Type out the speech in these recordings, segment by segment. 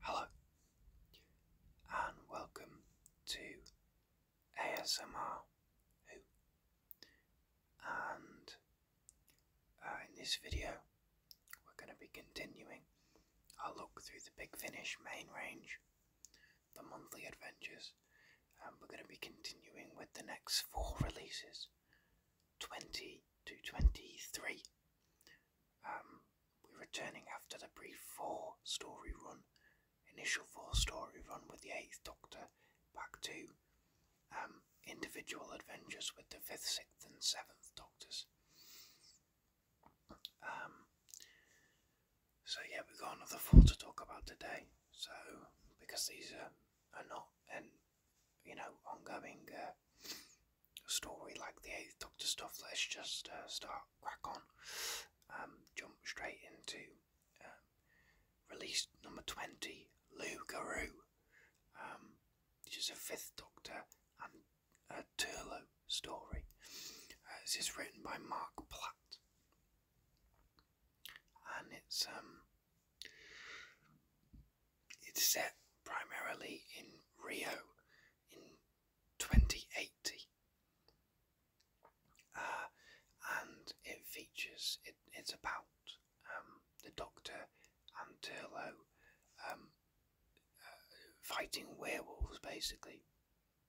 Hello, and welcome to ASMR And uh, in this video, we're going to be continuing our look through the Big Finish main range, the monthly adventures, and we're going to be continuing with the next four releases 20 to 23. Um, we're returning after the brief four story run, initial four story run with the Eighth Doctor, back to um, individual adventures with the Fifth, Sixth, and Seventh Doctors. Um, so, yeah, we've got another four to talk about today. So, because these are, are not, and you know, ongoing uh, story like the Eighth Doctor stuff. Let's just uh, start crack on, um, jump straight into um, release number twenty, Lou Garou, um, which is a Fifth Doctor and a Turlo story. Uh, this is written by Mark Platt, and it's um, it's set primarily in Rio in 2080. Uh, and it features, it's about um, the Doctor and Turlo um, uh, fighting werewolves basically.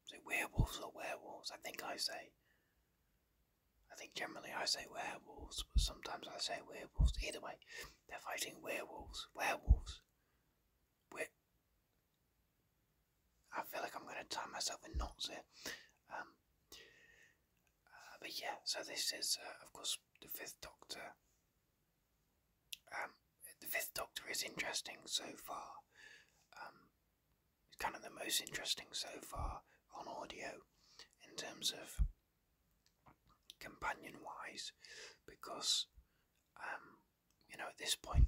So, werewolves or werewolves? I think I say. I think generally I say werewolves, but sometimes I say werewolves. Either way, they're fighting werewolves. Werewolves. I feel like I'm going to tie myself in knots here. Um, uh, but yeah, so this is, uh, of course, the Fifth Doctor. Um, the Fifth Doctor is interesting so far. Um, it's kind of the most interesting so far on audio in terms of companion wise because um, you know at this point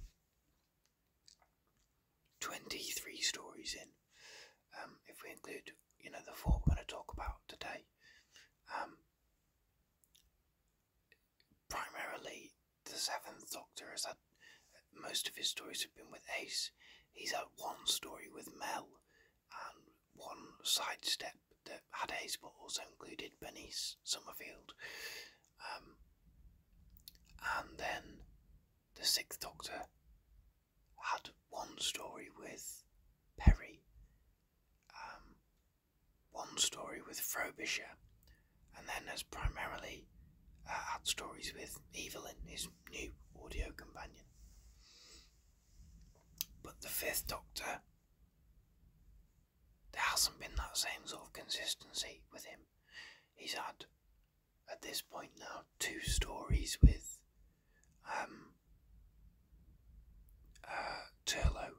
23 stories in um, if we include you know the four we're going to talk about today um, primarily the seventh doctor has had uh, most of his stories have been with ace he's had one story with mel and one sidestep that had Hayes but also included Bernice Summerfield. Um, and then the Sixth Doctor had one story with Perry, um, one story with Frobisher, and then has primarily uh, had stories with Evelyn, his new audio companion. But the Fifth Doctor there hasn't been that same sort of consistency with him. He's had, at this point now, two stories with um, uh, Turlo,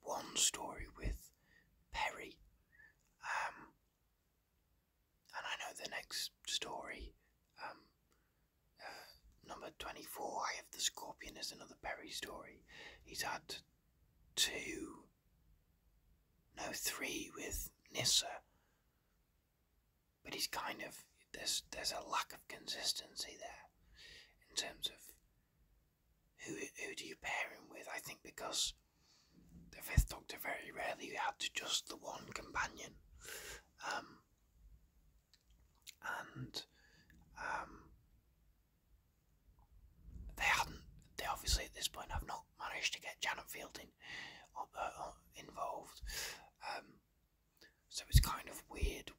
one story with Perry, um, and I know the next story um, number 24, I have the Scorpion, as another Perry story. He's had two, no, three with Nissa. But he's kind of, there's, there's a lack of consistency there in terms of who, who do you pair him with. I think because the Fifth Doctor very rarely had just the one companion. Um, and um, they hadn't. They obviously at this point have not managed to get Janet Fielding uh, uh, involved, um, so it's kind of weird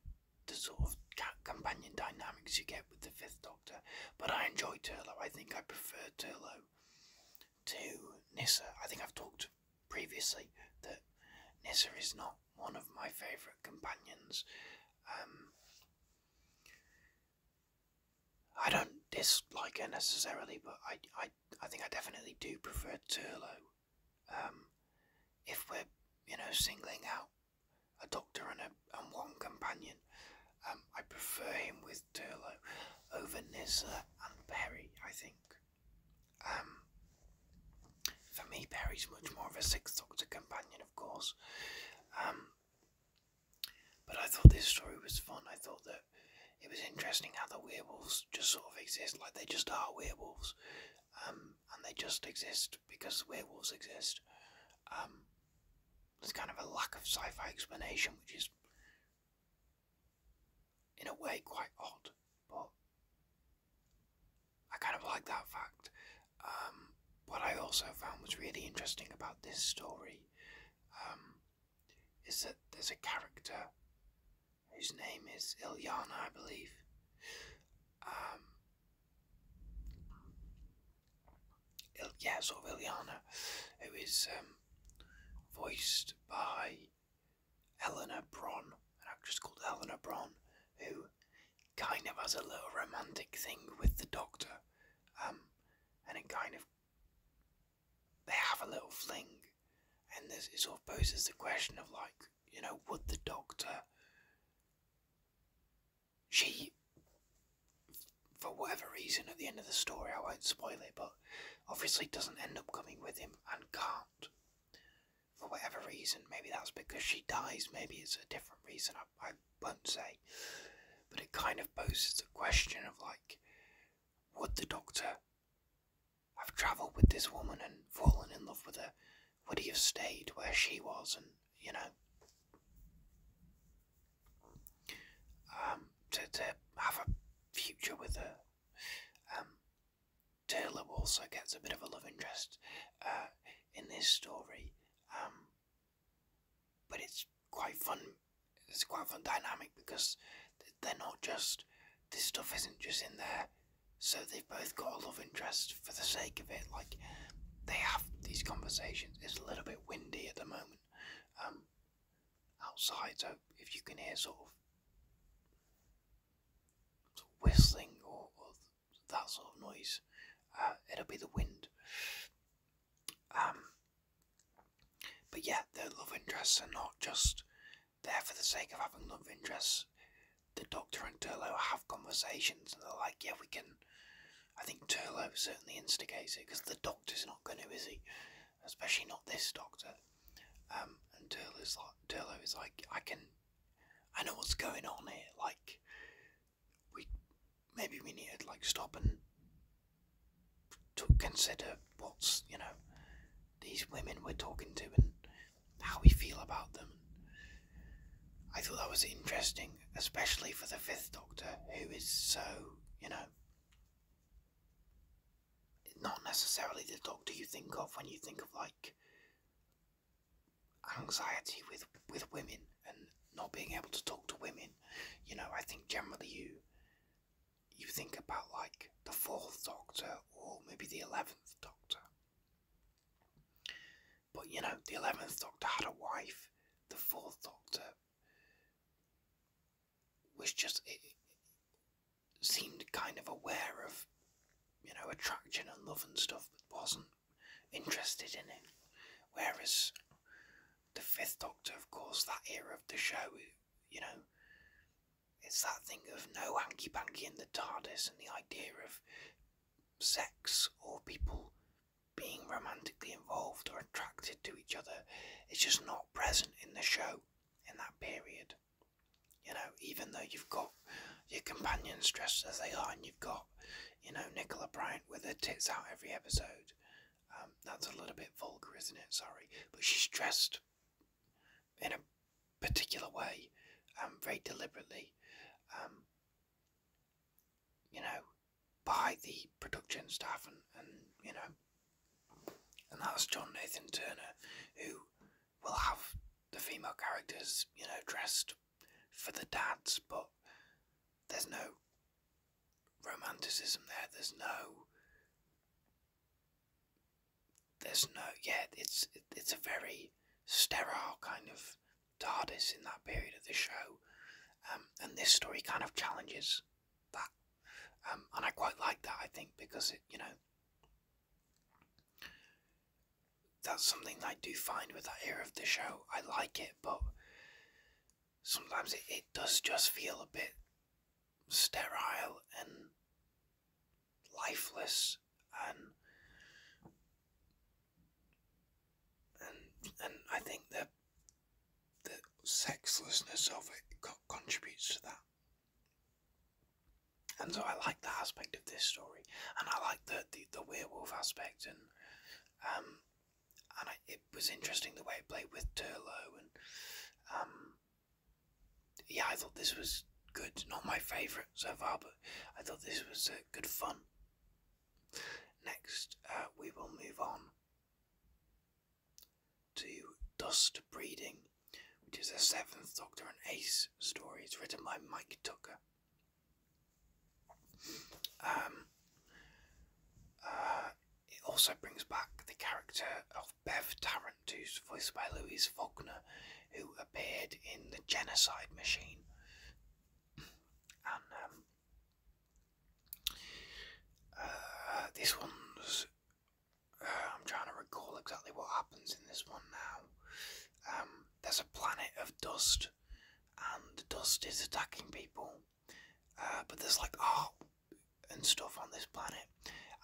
the sort of companion dynamics you get with the Fifth Doctor. But I enjoy Turlough. I think I prefer Turlough to Nissa. I think I've talked previously that Nissa is not one of my favourite companions. Um, I don't dislike her necessarily, but I, I, I think I definitely do prefer Turlo. Um, if we're, you know, singling out a doctor and, a, and one companion, um, I prefer him with Turlo over Nissa and Perry, I think. For me, Perry's much more of a Sixth Doctor companion, of course. Um, but I thought this story was fun. I thought that it was interesting how the werewolves just sort of exist, like they just are werewolves, um, and they just exist because werewolves exist. Um, there's kind of a lack of sci-fi explanation, which is, in a way, quite odd, but I kind of like that fact. Um, what I also found was really interesting about this story um, is that there's a character whose name is Ilyana, I believe. Um, Il yeah, sort Ilyana, who is um, voiced by Eleanor Bron, an actress called Eleanor Bron, who kind of has a little romantic thing with the doctor, um, and it kind of they have a little fling, and this it sort of poses the question of like, you know, would the doctor she for whatever reason at the end of the story I won't spoil it, but obviously doesn't end up coming with him and can't for whatever reason. Maybe that's because she dies, maybe it's a different reason, I, I won't say. But it kind of poses the question of like, would the doctor have travelled with this woman and fallen in love with her? Would he have stayed where she was and, you know, um, to, to have a future with her? Um, Taylor also gets a bit of a love interest uh, in this story, um, but it's quite fun. It's quite fun dynamic because they're not just this stuff isn't just in there, so they've both got a love interest for the sake of it. Like they have these conversations. It's a little bit windy at the moment um, outside, so if you can hear sort of, whistling or that sort of noise. Uh, it'll be the wind. Um, but yeah, their love interests are not just there for the sake of having love interests. The Doctor and Turlo have conversations and they're like, yeah, we can. I think Turlo certainly instigates it because the Doctor's not going to, is he? Especially not this Doctor. Um, and Turlo's like, Turlo is like, I can I know what's going on here. Like, we maybe we need to like stop and to consider what's you know these women we're talking to and how we feel about them. I thought that was interesting, especially for the Fifth Doctor, who is so you know not necessarily the Doctor you think of when you think of like anxiety with with women and not being able to talk to women. You know, I think generally you you think about like the fourth Doctor or maybe the eleventh Doctor. But you know, the eleventh Doctor had a wife. The fourth Doctor was just it seemed kind of aware of you know attraction and love and stuff, but wasn't interested in it. Whereas the Fifth Doctor, of course, that era of the show, you know, it's that thing of no hanky panky in the TARDIS and the idea of sex or people being romantically involved or attracted to each other. It's just not present in the show in that period. You know, even though you've got your companions dressed as they are, and you've got, you know, Nicola Bryant with her tits out every episode. Um, that's a little bit vulgar, isn't it? Sorry, but she's dressed in a particular way, um, very deliberately. Um, you know, by the production staff, and, and you know, and that's John Nathan Turner, who will have the female characters, you know, dressed for the dads, but there's no romanticism there. There's no. There's no. Yeah, it's it's a very sterile kind of TARDIS in that period of the show, um, and this story kind of challenges that, um, and I quite like that. I think because it, you know, that's something I do find with that era of the show. I like it, but sometimes it, it does just feel a bit sterile and lifeless and and I think the the sexlessness of it contributes to that and so I like the aspect of this story, and I like the the, the werewolf aspect, and um, and it was interesting the way it played with Turlo, and um, yeah, I thought this was good. Not my favourite so far, but I thought this was uh, good fun. Next, uh, we will move on to Dust Breeding, which is a seventh Doctor and Ace story. It's written by Mike Tucker um, uh, it also brings back the character of Bev Tarrant, who's voiced by Louise Faulkner, who appeared in The Genocide Machine. And um, uh, this one's. Uh, I'm trying to recall exactly what happens in this one now. Um, there's a planet of dust, and dust is attacking people. Uh, but there's like art and stuff on this planet,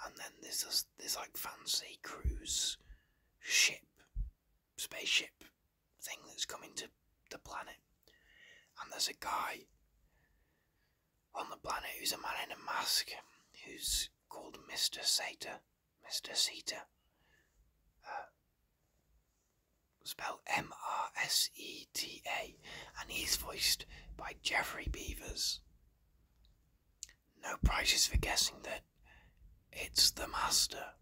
and then there's this, like fancy cruise ship, spaceship thing that's coming to the planet. And there's a guy on the planet who's a man in a mask who's called Mr. Sator. Mr. Sita. Uh, spelled M R S E T A, and he's voiced by Jeffrey Beavers. No prizes for guessing that it's the Master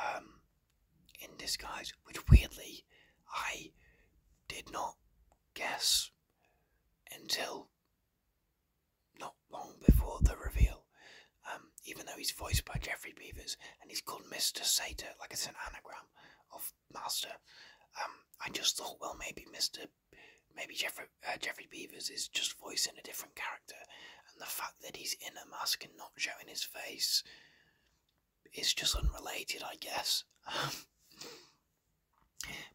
um, in disguise, which weirdly I did not guess until not long before the reveal. Um, even though he's voiced by Jeffrey Beavers and he's called Mr. Sater, like it's an anagram of Master. Um, I just thought, well, maybe Mr. Maybe Jeffrey uh, Jeffrey Beavers is just voicing a different character, and the fact that he's in a mask and not showing his face is just unrelated, I guess.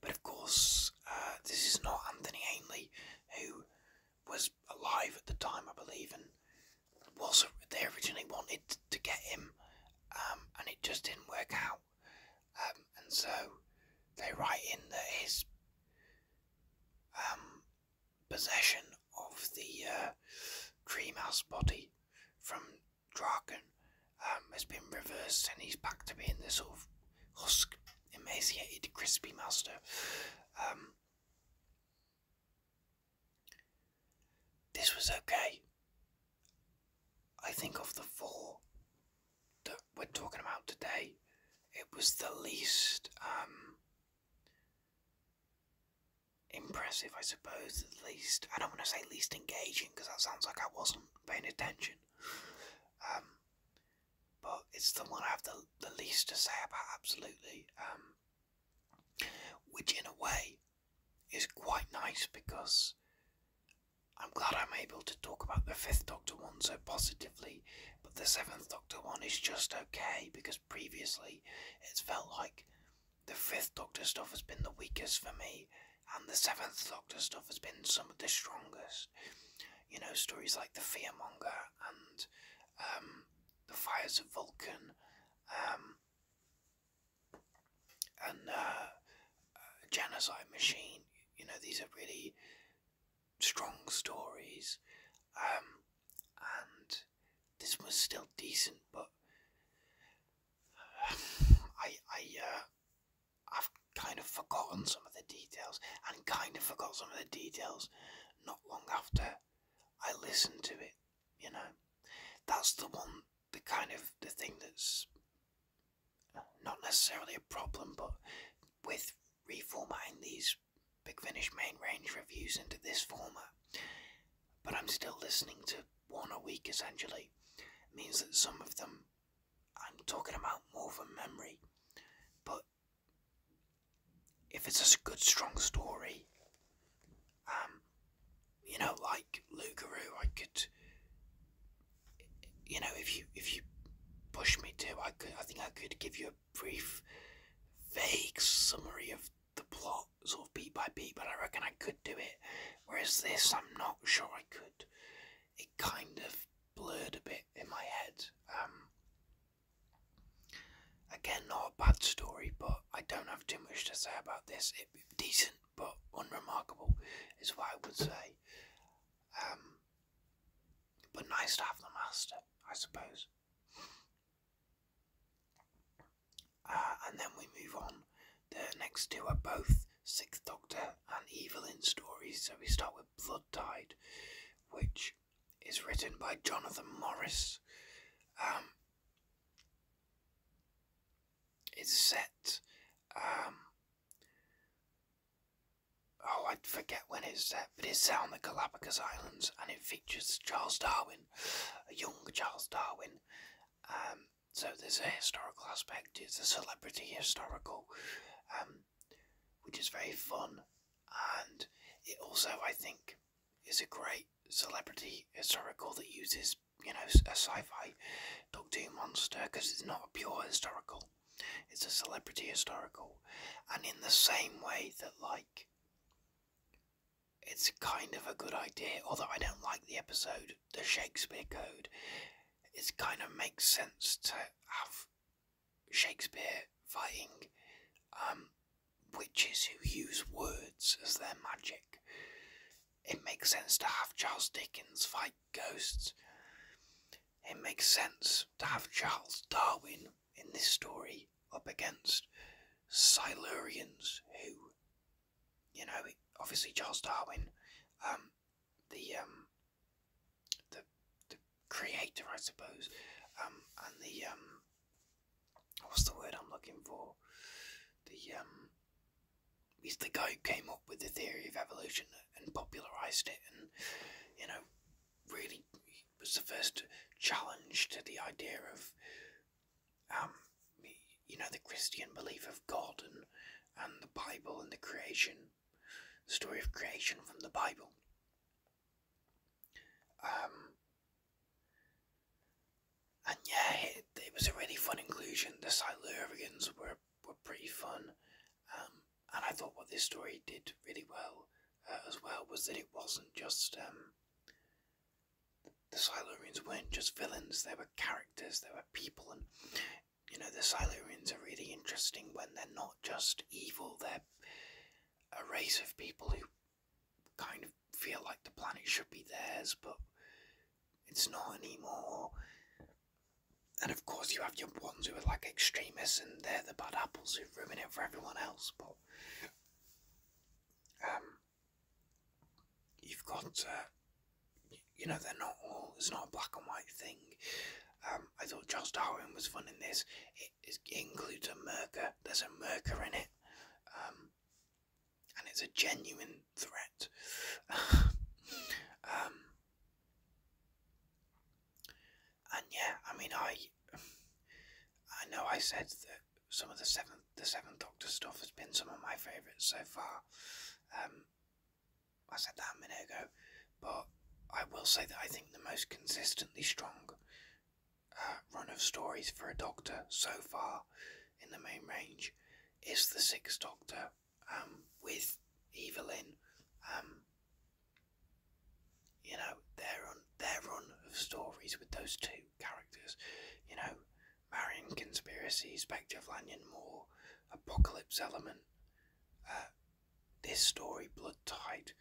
but of course, uh, this is not Anthony Ainley, who was alive at the time, I believe, and was they originally wanted to get him, um, and it just didn't work out. Um, and so they write in that his um, possession of the uh, Dreamhouse body from Draken has been reversed, and he's back to being this sort of husk, emaciated, crispy master. This was okay. I think of the four that we're talking about today, it was the least um, impressive, I suppose. The least, I don't want to say least engaging because that sounds like I wasn't paying attention. Um, but it's the one I have the, the least to say about, absolutely. Um, which, in a way, is quite nice because I'm glad I'm able to talk about the Fifth Doctor one so positively, but the Seventh Doctor one is just okay because previously it's felt like the Fifth Doctor stuff has been the weakest for me, and the Seventh Doctor stuff has been some of the strongest. You know, stories like The Fearmonger and um, the fires of Vulcan, um, and uh, Genocide Machine. You know, these are really strong stories, um, and this was still decent, but I, I, uh, I've kind of forgotten some of the details, and kind of forgot some of the details not long after I listened to it, you know. That's the one, the kind of the thing that's not necessarily a problem, but with reformatting these Big Finish main range reviews into this format, but I'm still listening to one a week essentially, it means that some of them I'm talking about more from memory, but if it's a good strong story, um, you know, like Lugaroo, I could, you know, if you if you push me to, I could, I think I could give you a brief, vague summary of the plot, sort of beat by beat. But I reckon I could do it. Whereas this, I'm not sure I could. It kind of blurred a bit in my head. Um, Again, not a bad story, but I don't have too much to say about this. It's decent but unremarkable is what I would say. Um, but nice to have the master, I suppose. Uh, and then we move on. The next two are both Sixth Doctor and evil in stories. So we start with Blood Tide, which is written by Jonathan Morris. Um, it's set. Um, oh, I forget when it's set, but it's set on the Galapagos Islands and it features Charles Darwin, a young Charles Darwin. Um, so there's a historical aspect, it's a celebrity historical which is very fun, and it also I think is a great celebrity historical that uses you know a sci-fi Doctor Who monster because it's not a pure historical, it's a celebrity historical, and in the same way that like it's kind of a good idea, although I don't like the episode, the Shakespeare Code. It kind of makes sense to have Shakespeare fighting um, witches who use words as their magic. It makes sense to have Charles Dickens fight ghosts. It makes sense to have Charles Darwin in this story up against Silurians who, you know, obviously Charles Darwin, um, the um, the creator, I suppose, um, and the um, what's the word I'm looking for? The um, he's the guy who came up with the theory of evolution and popularized it, and you know, really was the first challenge to the idea of um, you know, the Christian belief of God and and the Bible and the creation, the story of creation from the Bible. Um, and yeah, it, was a really fun inclusion. The Silurians were were pretty fun, um, and I thought what this story did really well uh, as well was that it wasn't just um, the Silurians weren't just villains. They were characters. They were people, and you know the Silurians are really interesting when they're not just evil. They're a race of people who kind of feel like the planet should be theirs, but it's not anymore. And of course, you have your ones who are like extremists, and they're the bad apples who ruin it for everyone else. But um, you've got, uh, you know, they're not all. It's not a black and white thing. Um, I thought Charles Darwin was fun in this it, it includes a murker. There's a murker in it, um, and it's a genuine threat. Um, and yeah, I mean, I I know I said that some of the seventh the seventh Doctor stuff has been some of my favourites so far. Um, I said that a minute ago, but I will say that I think the most consistently strong uh, run of stories for a Doctor so far in the main range is the Sixth Doctor um, with Evelyn. Um, you know their run, their run of stories with those two characters. You know, Marion Conspiracy, Spectre of Lanyon Moore, Apocalypse Element, uh, this story, Blood tight,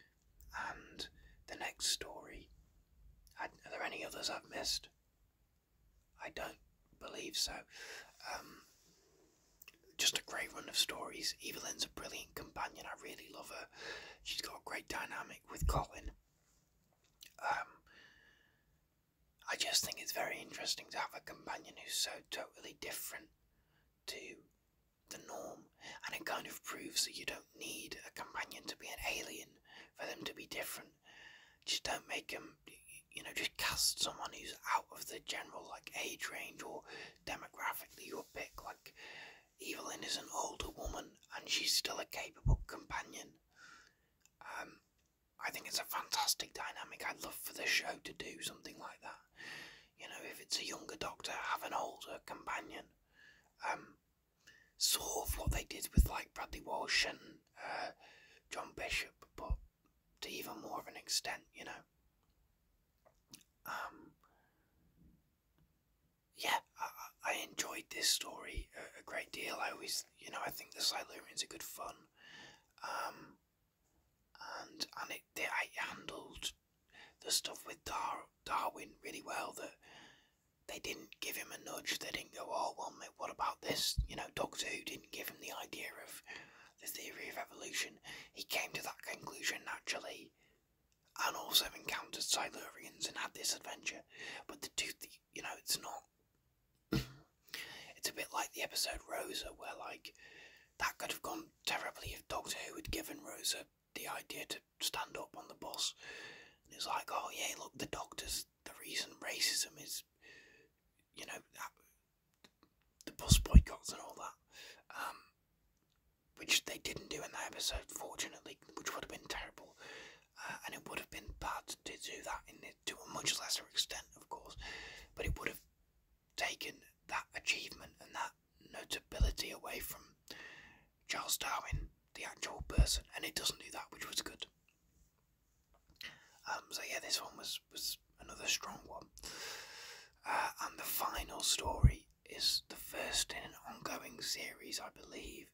and the next story. Are there any others I've missed? I don't believe so. Um, just a great run of stories. Evelyn's a brilliant companion. I really love her. She's got a great dynamic with Colin. Um, I just think it's very interesting to have a companion who's so totally different to the norm, and it kind of proves that you don't need a companion to be an alien for them to be different. Just don't make them, you know, just cast someone who's out of the general like age range or demographic that you pick. Like Evelyn is an older woman, and she's still a capable companion. Um, I think it's a fantastic dynamic. I'd love for the show to do something like that. You know, if it's a younger doctor, have an older companion. Um, sort of what they did with like Bradley Walsh and uh, John Bishop, but to even more of an extent, you know. Um, yeah, I, enjoyed this story a, great deal. I always, you know, I think the Silurians are good fun. Um, and and it, it, it handled the stuff with Dar Darwin really well that they didn't give him a nudge. They didn't go, oh, well, what about this? You know, Doctor Who didn't give him the idea of the theory of evolution. He came to that conclusion naturally and also encountered Silurians and had this adventure. But the two, you know, it's not. it's a bit like the episode Rosa, where, like, that could have gone terribly if Doctor Who had given Rosa the idea to stand up on the bus. And it's like, oh yeah, look, the doctors, the reason racism is, you know, the bus boycotts and all that. Um, which they didn't do in that episode, fortunately, which would have been terrible. Uh, and it would have been bad to do that in it, to a much lesser extent, of course. But it would have taken that achievement and that notability away from Charles Darwin, the actual person, and it doesn't do that, which was good. Um, so yeah, this one was was another strong one. Uh, and the final story is the first in an ongoing series, I believe,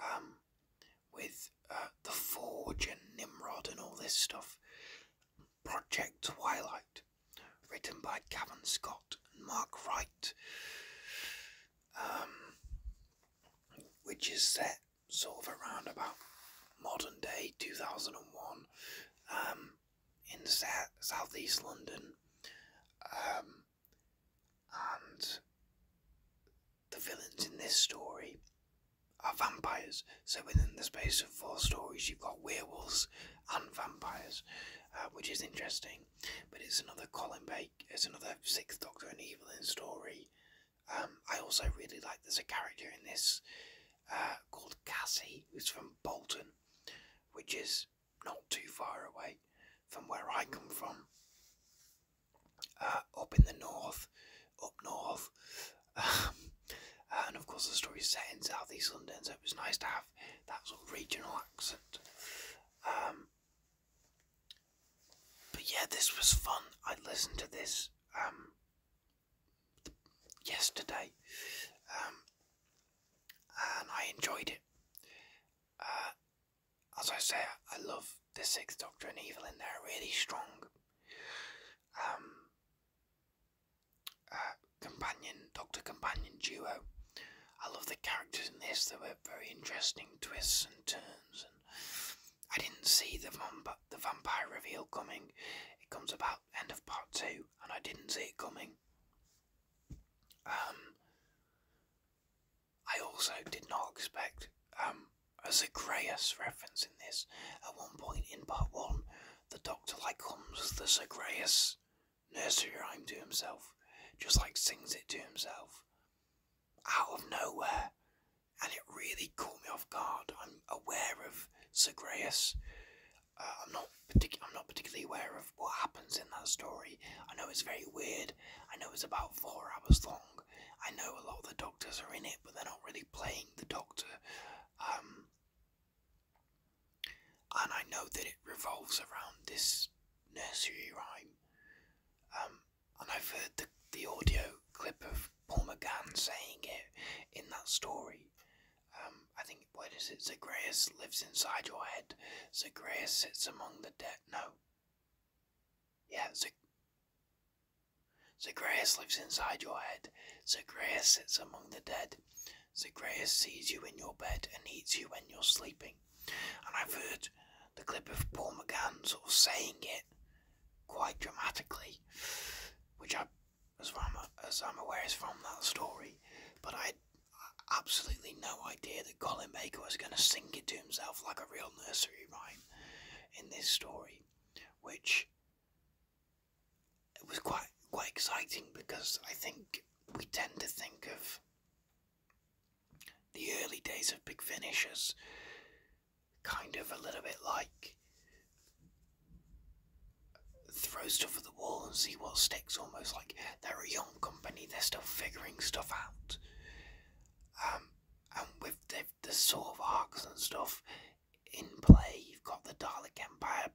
um, with uh, the Forge and Nimrod and all this stuff. Project Twilight, written by Gavin Scott and Mark Wright, um, which is set sort of around about modern day 2001 um, in sa- southeast London. Um, and the villains in this story are vampires. So within the space of four stories, you've got werewolves, and vampires, uh, which is interesting. But it's another Colin Baker, it's another Sixth Doctor and Evelyn story. Um, I also really like there's a character in this uh, called Cassie, who's from Bolton, which is not too far away from where I come from. Uh, up in the north, up north. Um, and of course, the story is set in southeast London, so it was nice to have that was a regional accent. Um, but yeah, this was fun. I listened to this um, yesterday, um, and I enjoyed it. Uh, as I say, I love the Sixth Doctor and Evil in there, really strong. Uh, companion, Doctor Companion duo. I love the characters in this. There were very interesting twists and turns, and I didn't see the vamp the vampire reveal coming. It comes about end of part two, and I didn't see it coming. Um, I also did not expect um, a Zagreus reference in this. At one point in part one, the Doctor like comes as the Zagreus nursery rhyme to himself, just like sings it to himself, out of nowhere. And it really caught me off guard. I'm aware of Segreus. Uh, I'm not partic- I'm not particularly aware of what happens in that story. I know it's very weird. I know it's about four hours long. I know a lot of the doctors are in it, but they're not really playing the doctor. Um, and I know that it revolves around this nursery rhyme. Um, and I've heard the, the audio clip of Paul McGann saying it in that story. Um, I think, what is it? Zagreus lives inside your head. Zagreus sits among the dead. No. Yeah, Zagreus. Zagreus lives inside your head. Zagreus sits among the dead. The Zagreus sees you in your bed and eats you when you're sleeping. And I've heard the clip of Paul McGann sort of saying it quite dramatically, which I, as i as I'm aware, is from that story. But I had absolutely no idea that Colin Baker was going to sing it to himself like a real nursery rhyme in this story, which it was quite quite exciting because I think we tend to think of the early days of Big Finish as kind of a little bit like throw stuff at the wall and see what sticks, almost like they're a young company, they're still figuring stuff out. Um, and with the, the sort of arcs and stuff in play, you've got the Dalek Empire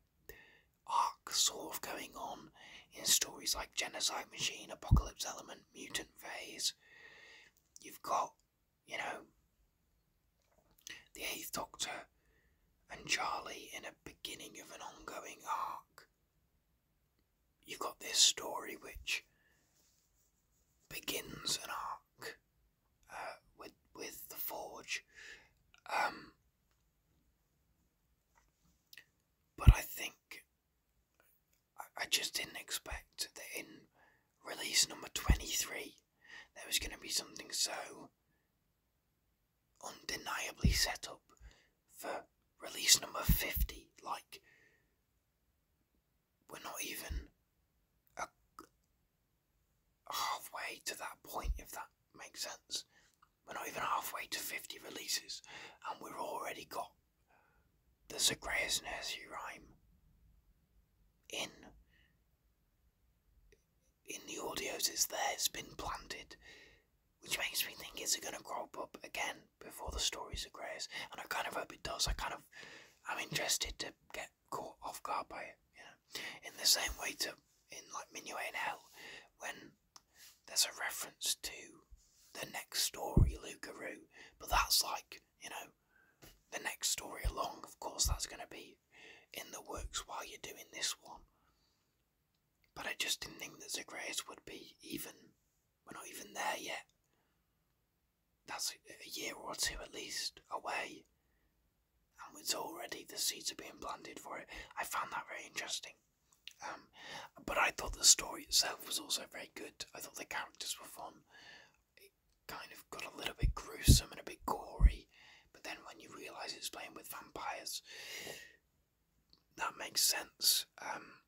arc sort of going on in stories like Genocide Machine, Apocalypse Element, Mutant Phase. You've got, you know, the Eighth Doctor and Charlie in a beginning of an ongoing arc. You've got this story which begins an arc uh, with with the Forge. Um, but I think I, just didn't expect that in release number 23 there was going to be something so undeniably set up for release number 50. Like, we're not even halfway to that point, if that makes sense. We're not even halfway to 50 releases, and we've already got the Zagreus Nursery Rhyme in in the audios Is there, it's been planted, which makes me think is it going to crop up again before the stories of Grace? And I kind of hope it does. I kind of, I'm interested to get caught off guard by it. You in the same way to in like Minuet in Hell when there's a reference to the next story, Lugaroo, but that's like, you know, the next story along, of course, that's going to be in the works while you're doing this one. But I just didn't think that Zagreus would be even, we're not even there yet. That's a year or two at least away and it's already the seeds are being planted for it. I found that very interesting. Um, but I thought the story itself was also very good. I thought the characters were fun. It kind of got a little bit gruesome and a bit gory, but then when you realise it's playing with vampires, that makes sense. Um,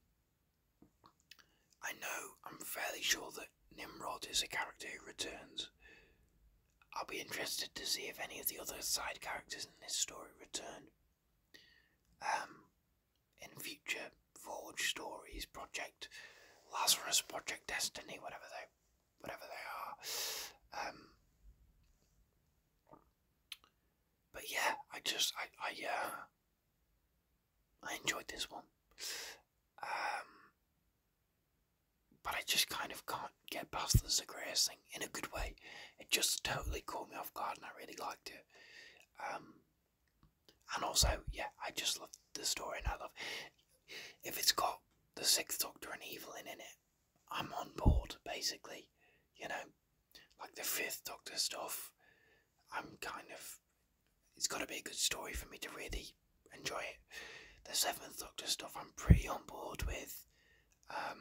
I know, I'm fairly sure that Nimrod is a character who returns I'll be interested to see if any of the other side characters in this story return. Um, in future Forge stories, Project Lazarus, Project Destiny, whatever they, whatever they are. Um, but yeah, I just I I uh, I enjoyed this one. Um, but I just kind of can't get past the Zagreus thing in a good way. It just totally caught me off guard, and I really liked it. Um, and also, yeah, I just love the story, and I love if it's got the Sixth Doctor and Evelyn in it. I'm on board, basically. You know, like the Fifth Doctor stuff. I'm kind of. It's got to be a good story for me to really enjoy it. The Seventh Doctor stuff, I'm pretty on board with. Um,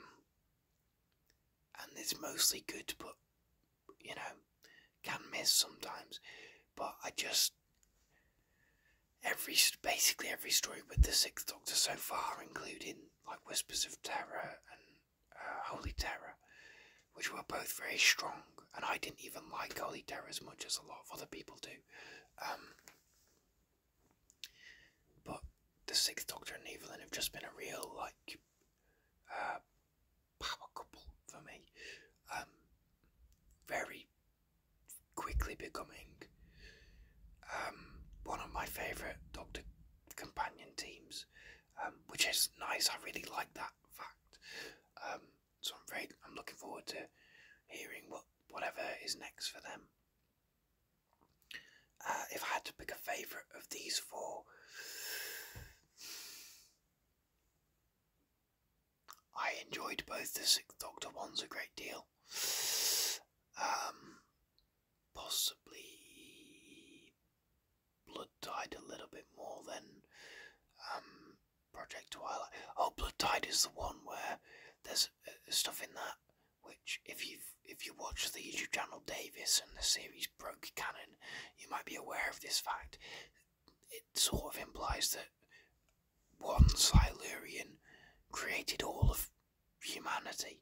and it's mostly good, but you know, can miss sometimes. But I just every basically every story with the Sixth Doctor so far, including like Whispers of Terror and uh, Holy Terror, which were both very strong, and I didn't even like Holy Terror as much as a lot of other people do. Um, but the Sixth Doctor and Evelyn have just been a real like uh, power couple for me. Um, very quickly becoming um, one of my favourite Doctor companion teams, um, which is nice. I really like that fact. so I'm very I'm looking forward to hearing what whatever is next for them. Uh, if I had to pick a favourite of these four, I enjoyed both the Sixth Doctor ones a great deal. Um, possibly Blood Tide a little bit more than um, Project Twilight. Oh, Blood Tide is the one where there's uh, stuff in that which if you if you watch the YouTube channel Davis and the series Broke Cannon, you might be aware of this fact. It sort of implies that one Silurian created all of humanity.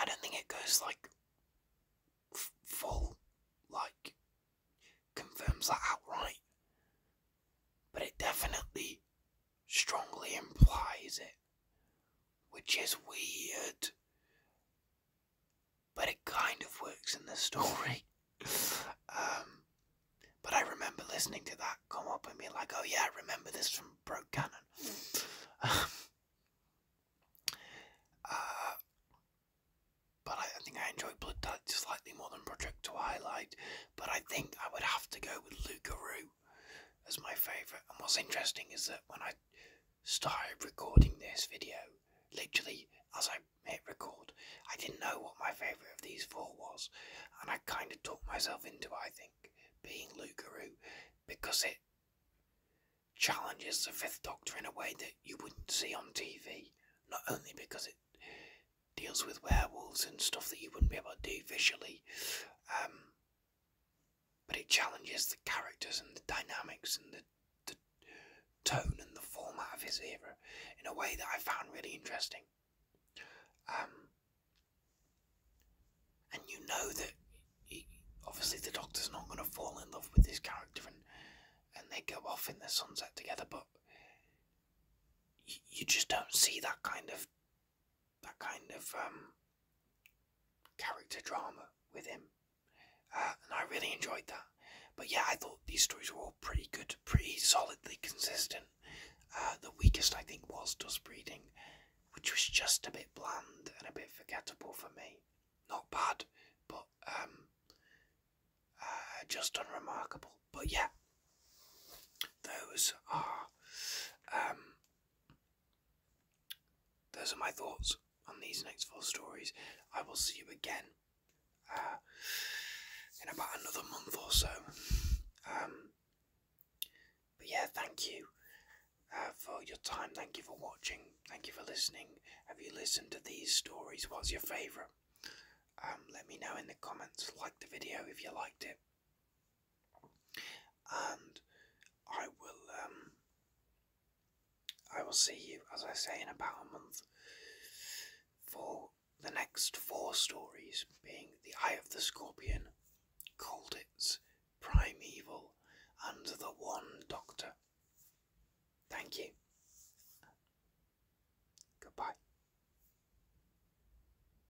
I don't think it goes like full, like confirms that outright, but it definitely strongly implies it, which is weird, but it kind of works in the story. Um, but I remember listening to that come up and being like, oh yeah, remember this from Broke Cannon. Um, uh, but I, think I enjoy Blood Dad slightly more than Project Twilight, but I think I would have to go with Lucaroo as my favourite. And what's interesting is that when I started recording this video, literally as I hit record, I didn't know what my favourite of these four was, and I kind of talked myself into I think being Lucaroo because it challenges the Fifth Doctor in a way that you wouldn't see on TV. Not only because it deals with werewolves and stuff that you wouldn't be able to do visually, um, but it challenges the characters and the dynamics and the, tone and the format of his era in a way that I found really interesting. Um, and you know that obviously the Doctor's not going to fall in love with this character and they go off in the sunset together, but you just don't see that kind of that kind of um, character drama with him, uh, and I really enjoyed that. But yeah, I thought these stories were all pretty good, pretty solidly consistent. Uh, the weakest I think was Dust Breeding, which was just a bit bland and a bit forgettable for me. Not bad, but um, uh, just unremarkable. But yeah, those are um, those are my thoughts on these next four stories. I will see you again uh, in about another month or so. Um, but yeah, thank you uh, for your time. Thank you for watching. Thank you for listening. Have you listened to these stories? What's your favourite? Um, let me know in the comments. Like the video if you liked it and I will um, I will see you as I say in about a month for the next four stories being The Eye of the Scorpion, Colditz, Primeval and The One Doctor. Thank you. Goodbye.